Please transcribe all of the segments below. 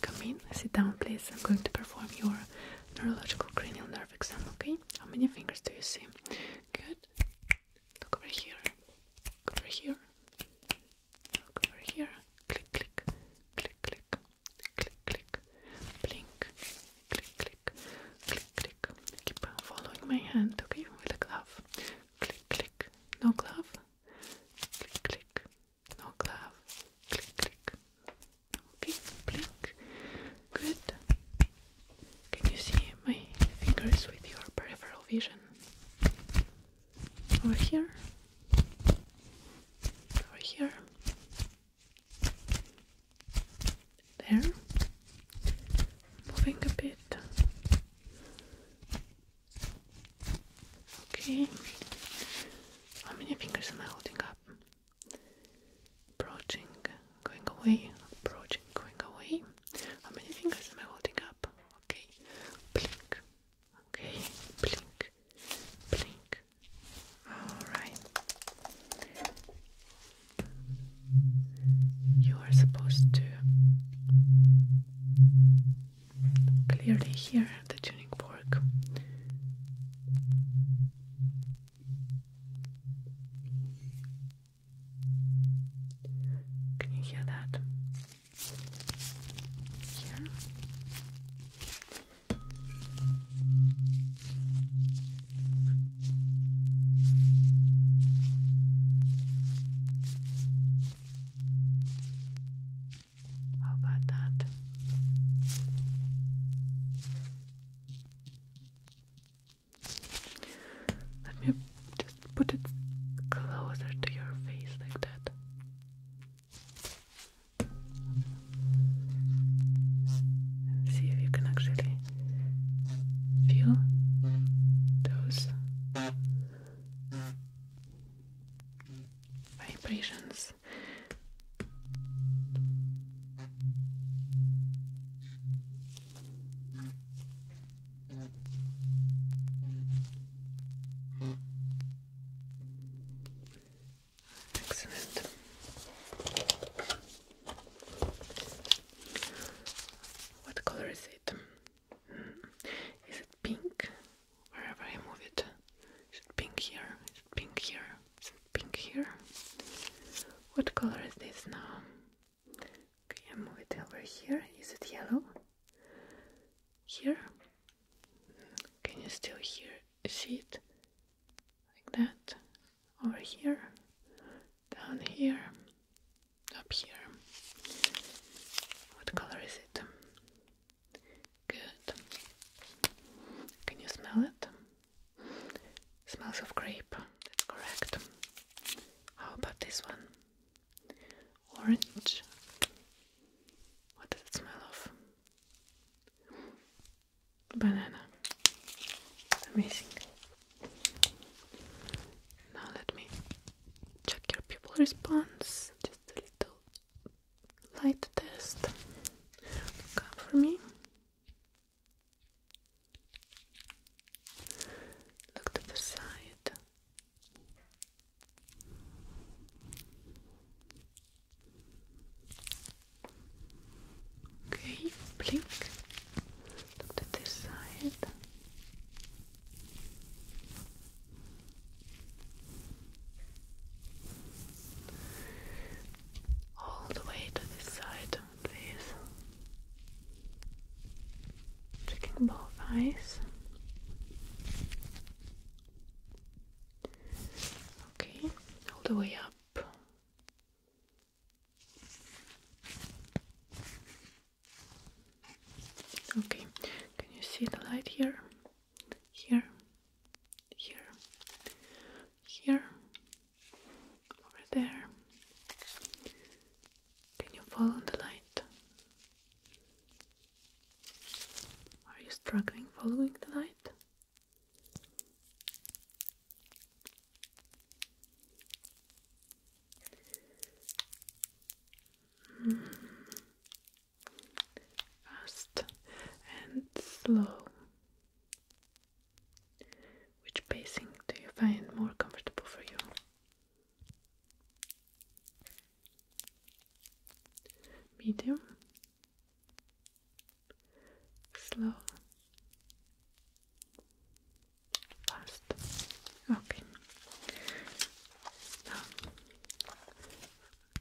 Come in, sit down please. I'm going to perform your neurological cranial nerve exam, okay? How many fingers do you see? Good. Look over here. Look over here. Look over here. Click, click. Click, click. Click, click. Blink. Click, click. Click, click. Keep following my hand, okay? With a glove. Click, click. No glove. Click, click no glove. Click, click. Okay, blink. Good. Can you see my fingers with your peripheral vision? Over here. Over here. There. Moving a bit. Okay. How many fingers am I holding up? Approaching, going away, approaching, going away. How many fingers am I holding up? Okay. Blink. Okay. Blink. Blink. Alright. You are supposed to clearly hear the tuning fork. Can you hear that? Here. How about that? Let me just put it closer to your face like that. see if you can actually feel those vibrations. Excellent. What color is it? Hmm. Is it pink? wherever I move it. Is pink here? Is it pink here? Is it pink here? What color is this now? Can I move it over here. Is it yellow? Here? Can you still hear see it? Like that? Over here? Down here? Up here? What color is it? Good. Can you smell it? Smells of grape. That's correct. How about this one? Orange. What does it smell of? Banana. Amazing. Now let me check your pupil response. Just a little light test. Look up for me. Look to the side. Okay, blink. Look to this side. All the way to this side, please. Checking both eyes. Okay, all the way up. Okay, can you see the light here? here, here, here, over there. Can you follow the light? Are you struggling following the light? Hmm fast and slow. Which pacing do you find more comfortable for you? Medium, slow, fast. Okay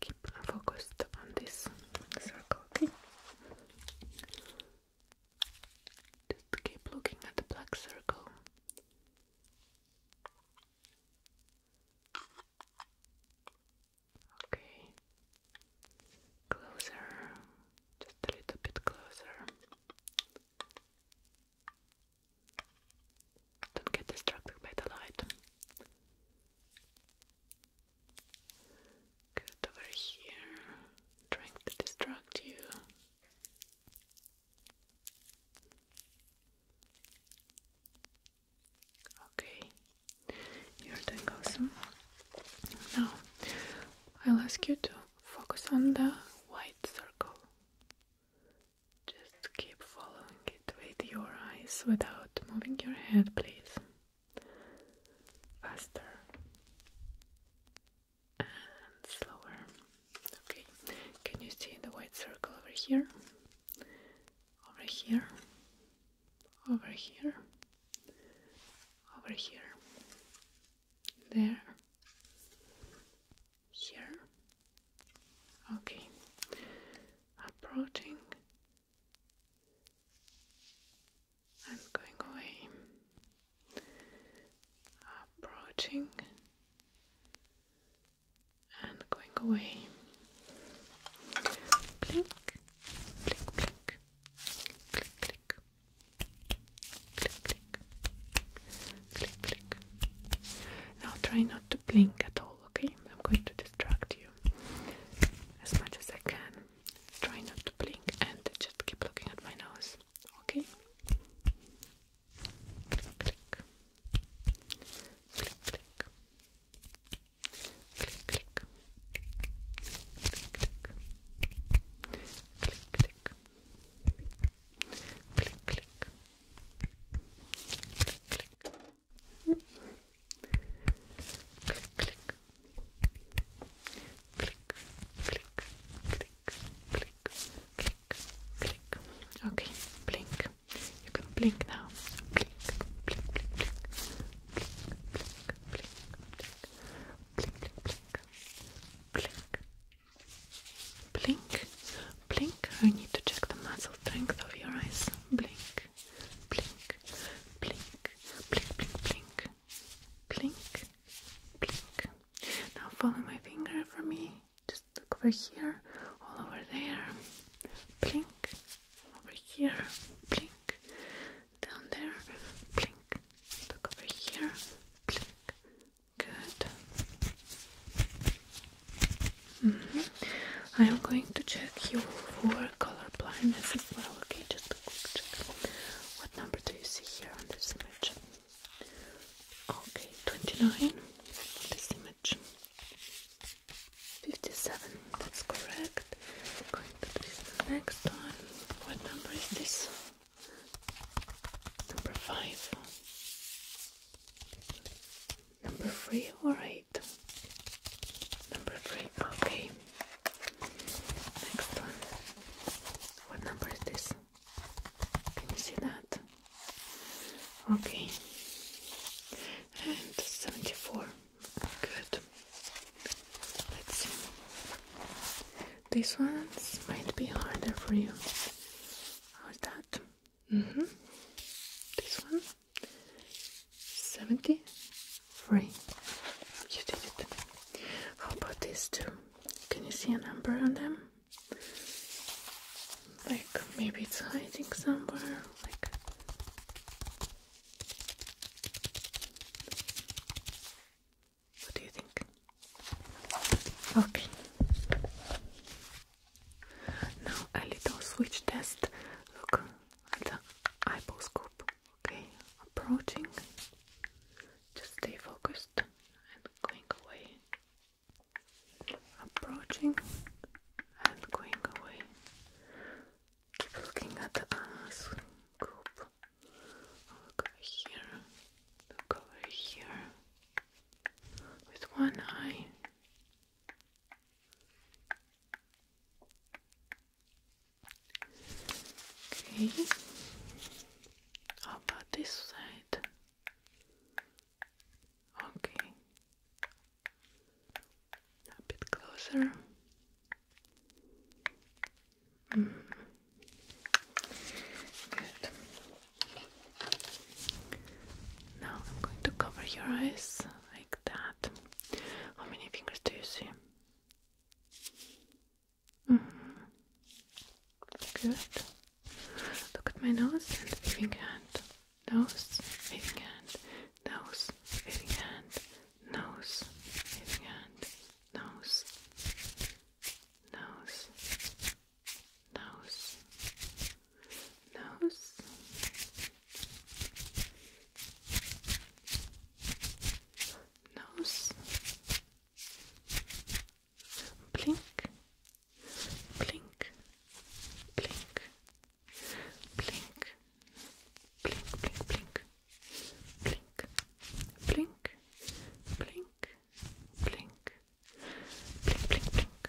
keep focused on this circle, okay? Just keep looking at the black circle. Okay, closer, just a little bit closer. Don't get distracted by the light. Good over here, trying to distract you. Okay, you're doing awesome. Now, I'll ask you to focus on the white circle. Just keep following it with your eyes without moving your head, please. Faster and slower. Okay, can you see the white circle over here? Over here, over here, over here, there, here, Okay, approaching and going away, approaching and going away. Blink, blink, blink, click, click, click, click, click, click. Now try not to blink at all okay? I'm going to distract you as much as I can. Try not to blink and just keep looking at my nose, okay? click. Click, click. Click, click. Click, click. Click, click. Click, click. Click, click click, click, click, click, click, click, click. Okay, blink. You can blink now. Blink, blink, blink, blink, blink, blink, blink, blink, blink, blink, blink. Blink. I need to check the muscle strength of your eyes. Blink, blink, blink, blink, blink, blink, blink, blink. Now follow my finger for me. Just look over here, all over there. Blink. Over here. Blink. Down there. Blink. Look over here. Blink. Good. Mm-hmm. I am going to check you for color blindness Okay, just a quick check. What number do you see here on this image? Okay, 29 this image. 57, that's correct. I'm going to do the next one. What number is this? Number 5. Number three all right. Number three, okay. Next one. What number is this? Can you see that? Okay. And 74. Good. Let's see. These ones might be harder for you. How's that? Mm -hmm. This one. 73. You did it. How about these two? Can you see a number on them? Like maybe it's hiding somewhere. Like what do you think? Okay. Now a little switch test. Look at the eyeball scoop. Okay, approaching. Just stay focused and going away. Approaching and going away. Keep looking at the uh, Look over here. Look over here. With one eye. Okay. How about this side? Okay. A bit closer. Mm. Good. Now I'm going to cover your eyes like that. How many fingers do you see? Mm-hmm. Good. Look at my nose and waving hand. Nose, waving hand. Nose, waving hand. Nose, waving hand. Nose. Nose nose, nose. Nose, blink, blink, blink, blink, blink, blink, blink, blink, blink, blink, blink, blink, blink, blink,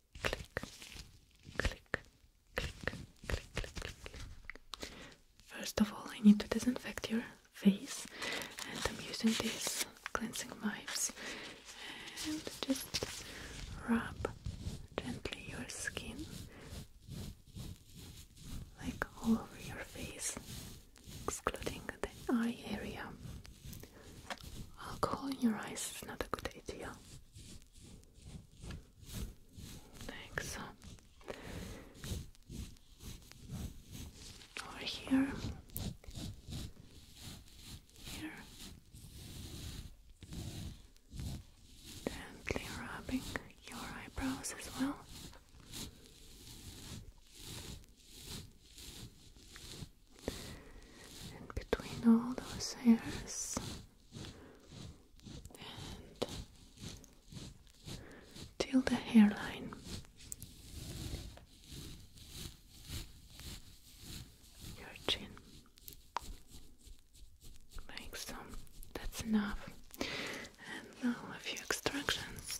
First of all, I need to disinfect your face, and I'm using these cleansing wipes and just rub gently your skin like all over your face, excluding the eye area. Alcohol in your eyes is not a good idea. Thanks. so. here, here, gently rubbing your eyebrows as well. And between all those hairs, till the hairline. Your chin. Like That's enough. And now a few extractions.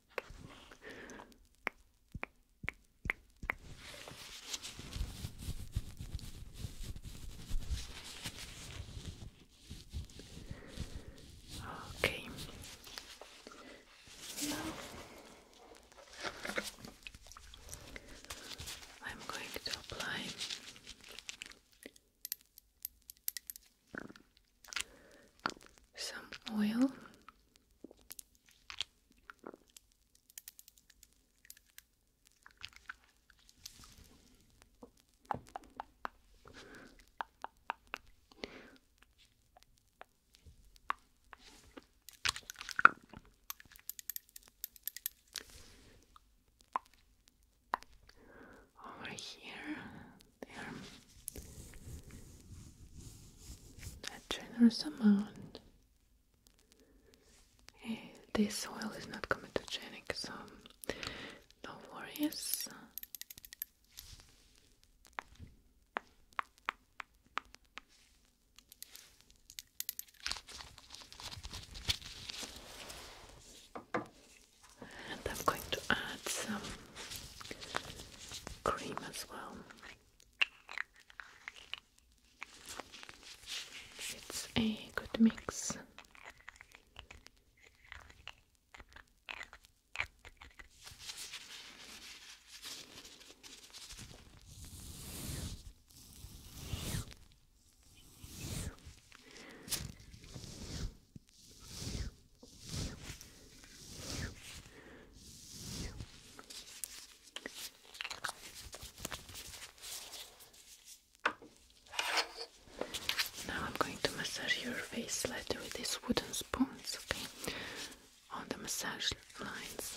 Okay. Now I'm going to apply some oil. Over here a generous amount. Eh, this oil is not comedogenic, so no worries. And I'm going to add some cream as well. It's a good mix. Now I'm going to massage your face slightly with these wooden spoons, okay? On the massage lines.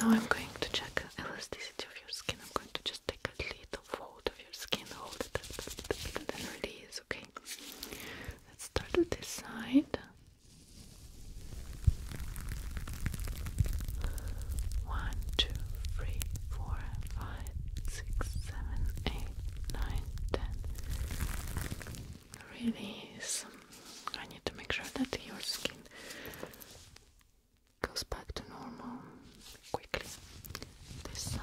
now I'm going to check elasticity of your skin. I'm going to just take a little fold of your skin, hold it a little release. Okay, let's start with this side. One, two, three, four, five, six, seven, eight, nine, ten. Release. I need to make sure that your skin goes back to normal quickly. This side.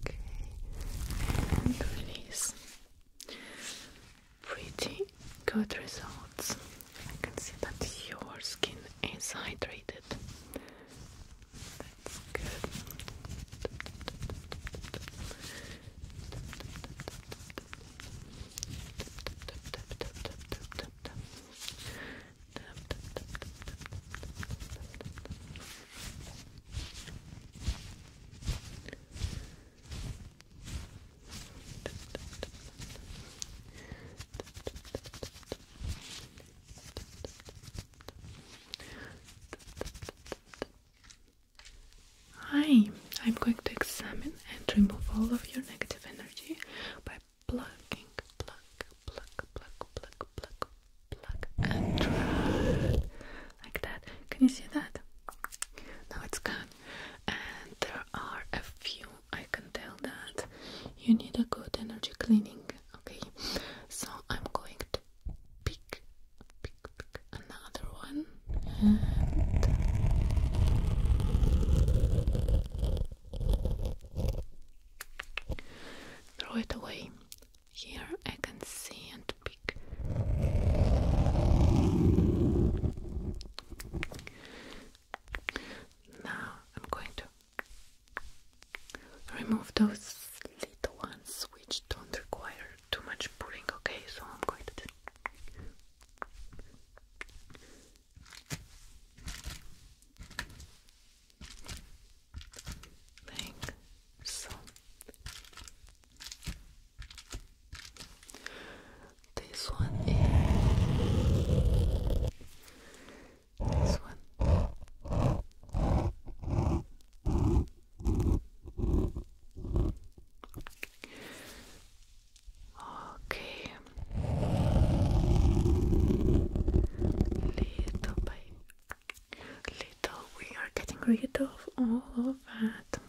Okay, and release. Pretty good results. I can see that your skin is hydrated. That's good. Hi, I'm going to examine and remove all of your negative energy by blocking. pluck, pluck, pluck, pluck, pluck, pluck, and drag. Like that. Can you see that? Now it's gone. And there are a few, I can tell that you need a good energy cleaning. Okay, so I'm going to pick, pick another one. And Throw it away. Here I can see and pick. Now I'm going to remove those little ones which don't require too much pulling, okay? So I'm going to so. This one is this one. Okay. Little by Little, we are getting rid of all of that.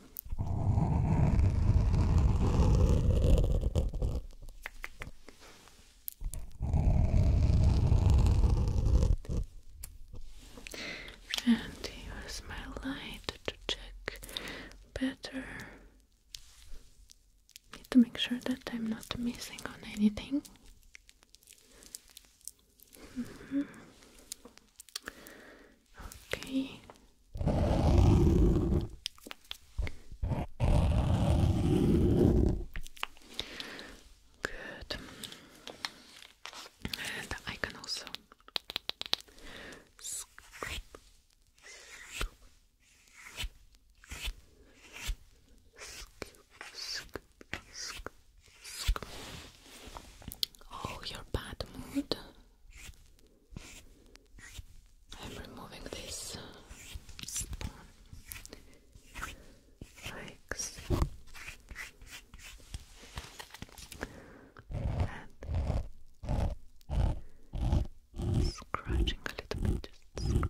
And use my light to check better. Need to make sure that I'm not missing on anything. Mm -hmm. Okay. Good. And I can also Oh, your bad mood. I'm removing this spoon. And scratching a little bit,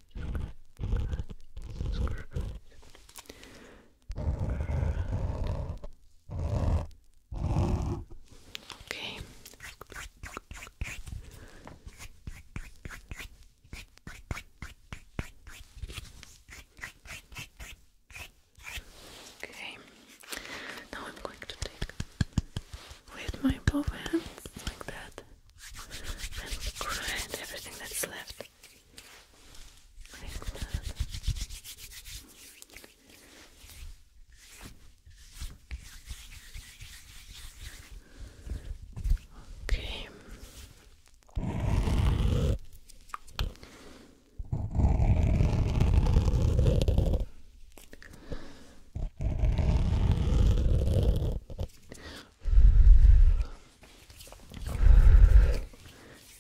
Okay. Okay. Now I'm going to take with my both hands like that and grind everything that's left. Okay.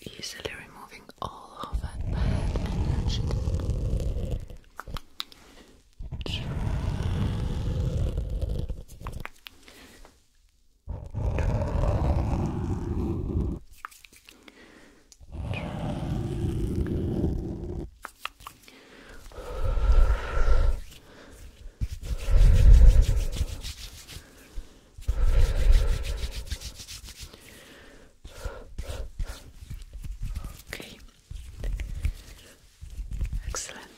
Easily removing all of that bad energy. Try. Try. Okay. Excellent.